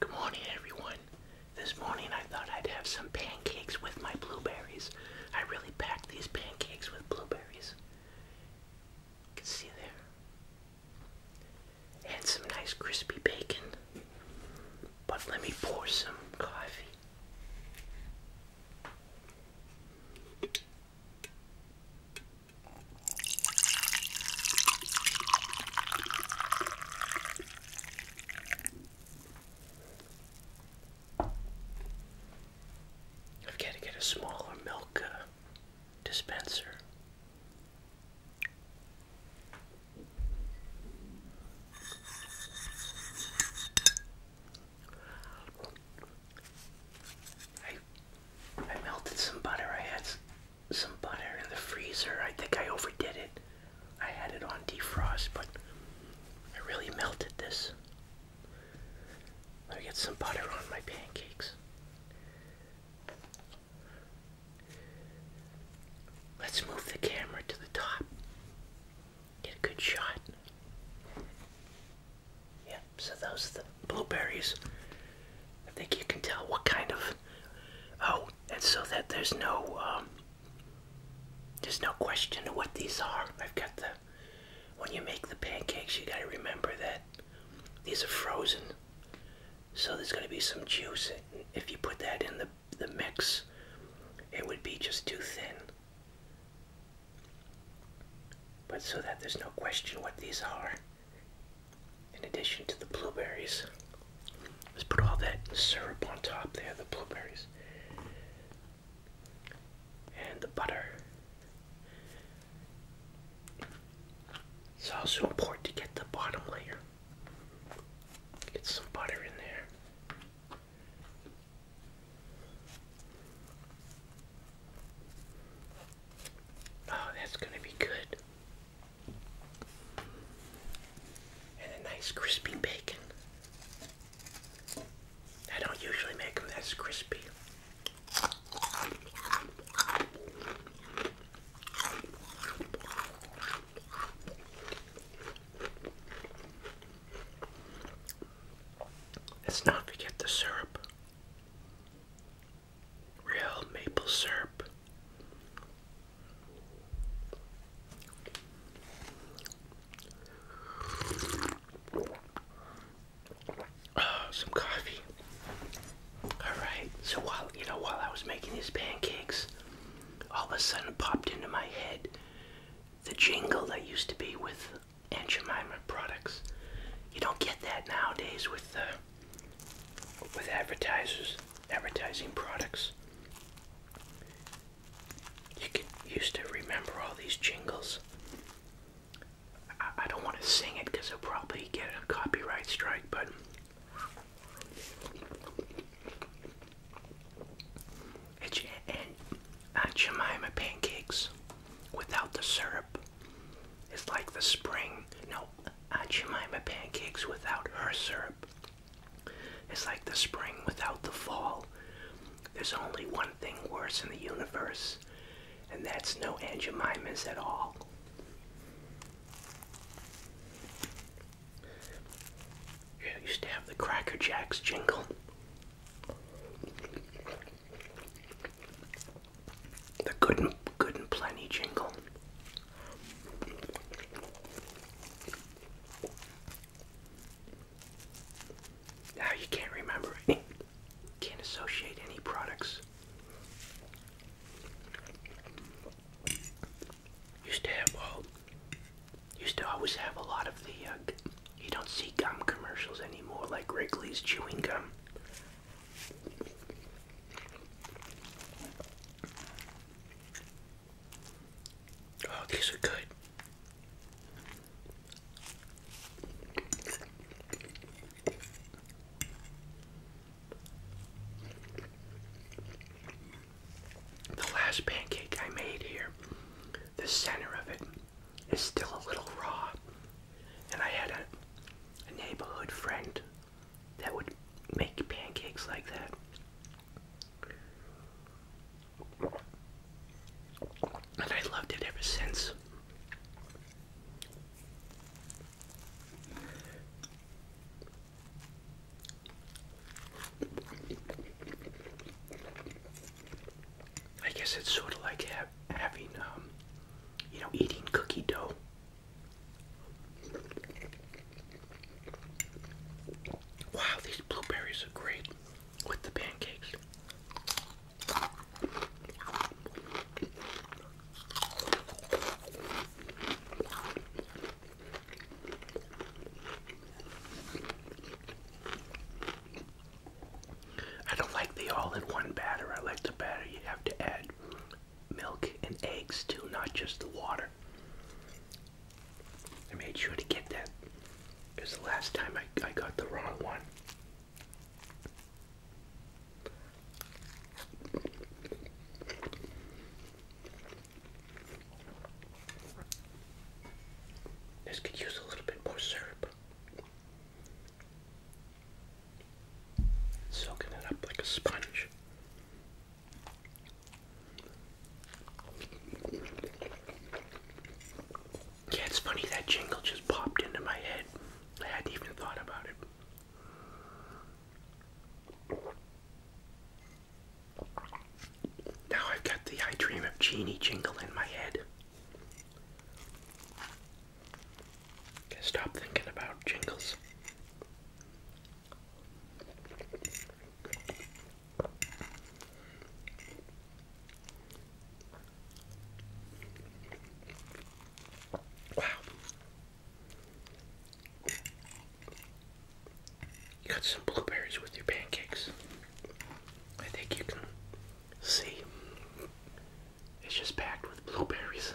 Good morning, everyone. This morning I thought I'd have some pancakes with my blueberries. I really packed these pancakes with blueberries. You can see there. And some nice crispy bacon. But let me pour some coffee. I've got to get a smaller milk uh, dispenser. I, I melted some butter. I had some butter in the freezer. I think I overdid it. I had it on defrost, but I really melted this. Let me get some butter on my pancakes. Let's move the camera to the top. Get a good shot. Yep, so those are the blueberries. I think you can tell what kind of. Oh, and so that there's no um, there's no question of what these are. I've got the when you make the pancakes, you got to remember that these are frozen, so there's going to be some juice. If you put that in the the mix, it would be just too thin. But so that there's no question what these are, in addition to the blueberries. Let's put all that syrup on top there, the blueberries. And the butter. It's also important to get the bottom layer. Get some butter in there. Oh, that's going to be good. And a nice crispy bacon. I don't usually make them this crispy. It's not to the syrup real maple syrup. Oh, some coffee. Alright, so while you know while I was making these pancakes, all of a sudden it popped into my head the jingle that used to be with Aunt products. You don't get that nowadays with uh, with advertisers, advertising products. You can, used to remember all these jingles. I, don't want to sing it because I'll probably get a copyright strike, but it's and Aunt Jemima pancakes without the syrup is like the spring. No, Aunt Jemima pancakes without her syrup is like the spring without the fall. There's only one thing worse in the universe, and that's no Aunt at all. I used to have the Cracker Jacks jingle. The good and, good and plenty jingle. Now ah, you can't remember any, can't associate any products. Used to have, well, used to always have a lot of the uh, you don't see gum commercials anymore like Wrigley's chewing gum. Oh, these are good. The last pancake I made here, the center of it is still a little raw. And I had a, neighborhood friend that would make pancakes like that. And I loved it ever since. I guess it's sort of like having, um, you know, eating cookie dough. Wow, these blueberries are great with the pancakes. I don't like the all-in-one batter. I like the batter you have to add milk and eggs to, not just the water. I made sure to get that because the last time I, I got the wrong one. This could use a little bit more syrup. Soaking it up like a sponge. Yeah, it's funny that jingle just popped into my head. I hadn't even thought about it. Now I've got the I Dream of Genie jingle in my head. stop thinking about jingles. Wow. You got some blueberries with your pancakes. I think you can see it's just packed with blueberries.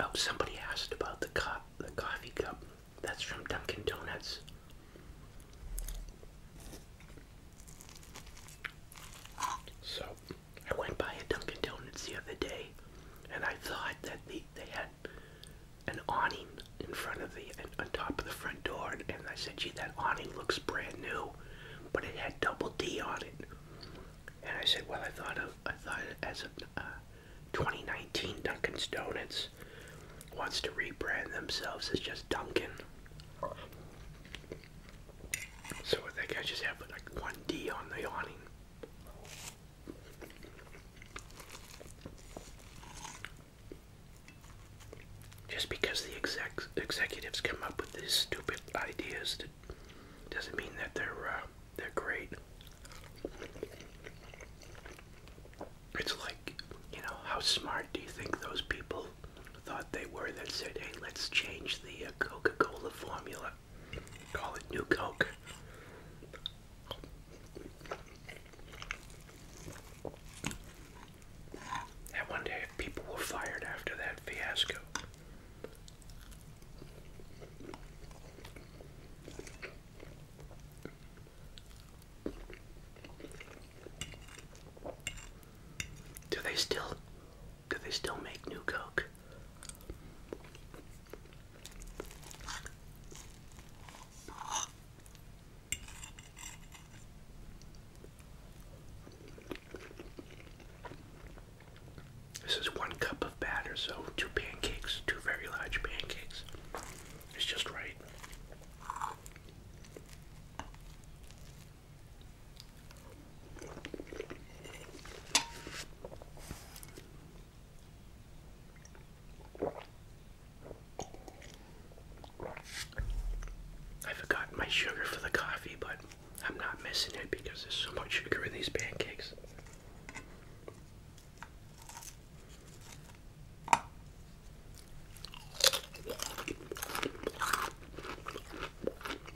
Oh, somebody asked about the cup, the coffee cup. That's from Dunkin' Donuts. So I went by a Dunkin' Donuts the other day, and I thought that the, they had an awning in front of the on top of the front door, and, I said, "Gee, that awning looks brand new, but it had double D on it." And I said, "Well, I thought of I thought as a uh, 2019 Dunkin' Donuts wants to rebrand themselves as just Dunkin'." So I think I just have like one D on the awning. Just because the exec executives come up with these stupid ideas that doesn't mean that they're uh, they're great. It's like, you know, how smart do you think those people thought they were that said, "Hey, let's change the uh, Coca-Cola formula call it New Coke. And one day people were fired after that fiasco. Do they still do they still make new Coke? This is one cup of batter, so two pancakes, two very large pancakes. It's just right. I forgot my sugar for the coffee, but I'm not missing it because there's so much sugar in these pancakes.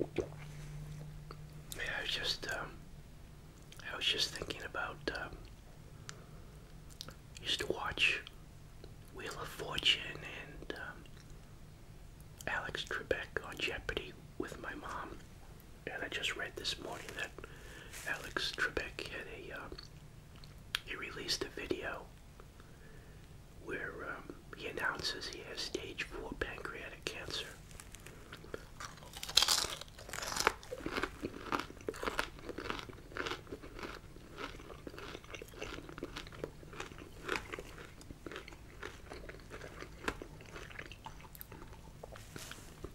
Yeah, I was just, um, I was just thinking about, um, used to watch Wheel of Fortune and, um, Alex Trebek on Jeopardy with my mom. And I just read this morning that Alex Trebek had a, um, he released a video where um, he announces he has stage 4 pancreatic cancer.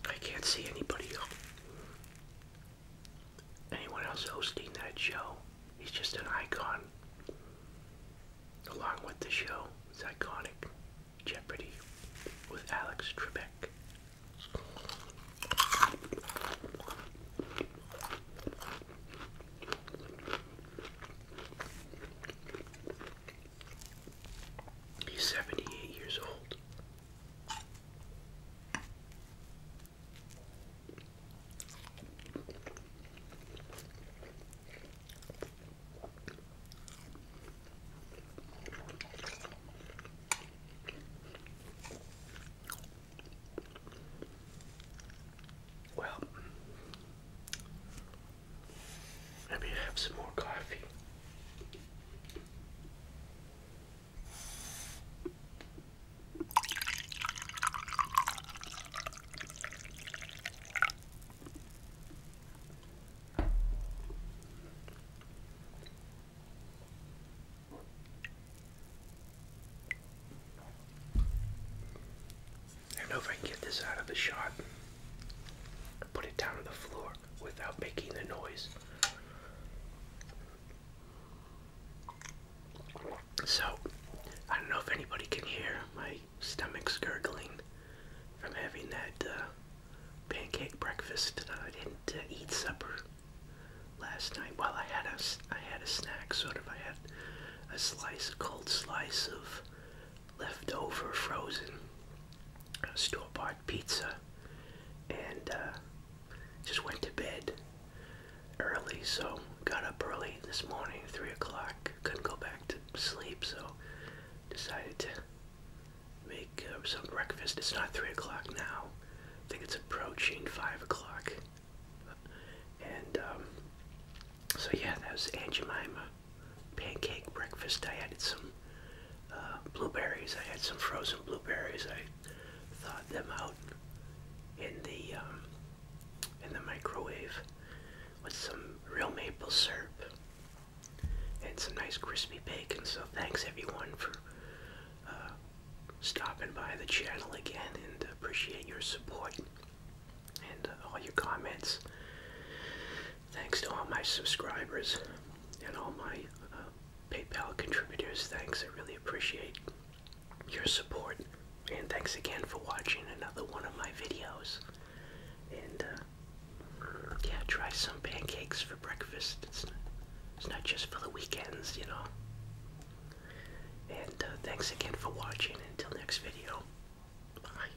I can't see anybody anyone else hosting that show. He's just an icon. Along with the show, it's iconic Jeopardy with Alex Trebek. He's 78 years old. Well, let have some more coffee. I don't know if I can get this out of the shot put it down on the floor without making a noise. So, I don't know if anybody can hear my stomach's gurgling from having that uh, pancake breakfast. Uh, I didn't uh, eat supper last night. Well, I had a I had a snack, sort of. I had a slice, a cold slice of leftover frozen store-bought pizza and uh, just went to bed early. So got up early this morning, three o'clock. Couldn't go back to sleep, so decided to make uh, some breakfast. It's not three o'clock now. I think it's approaching five o'clock. And um, so yeah, that was Aunt pancake breakfast. I added some uh, blueberries. I had some frozen blueberries. I thawed them out in the um, in the microwave with some real maple syrup and some nice crispy bacon. So thanks everyone for uh, stopping by the channel again and appreciate your support and uh, all your comments. Thanks to all my subscribers and all my uh, PayPal contributors. Thanks, I really appreciate your support. And thanks again for watching another one of my videos. And uh, yeah, try some pancakes for breakfast. It's not, it's not just for the weekends, you know. And uh, thanks again for watching. Until next video, bye.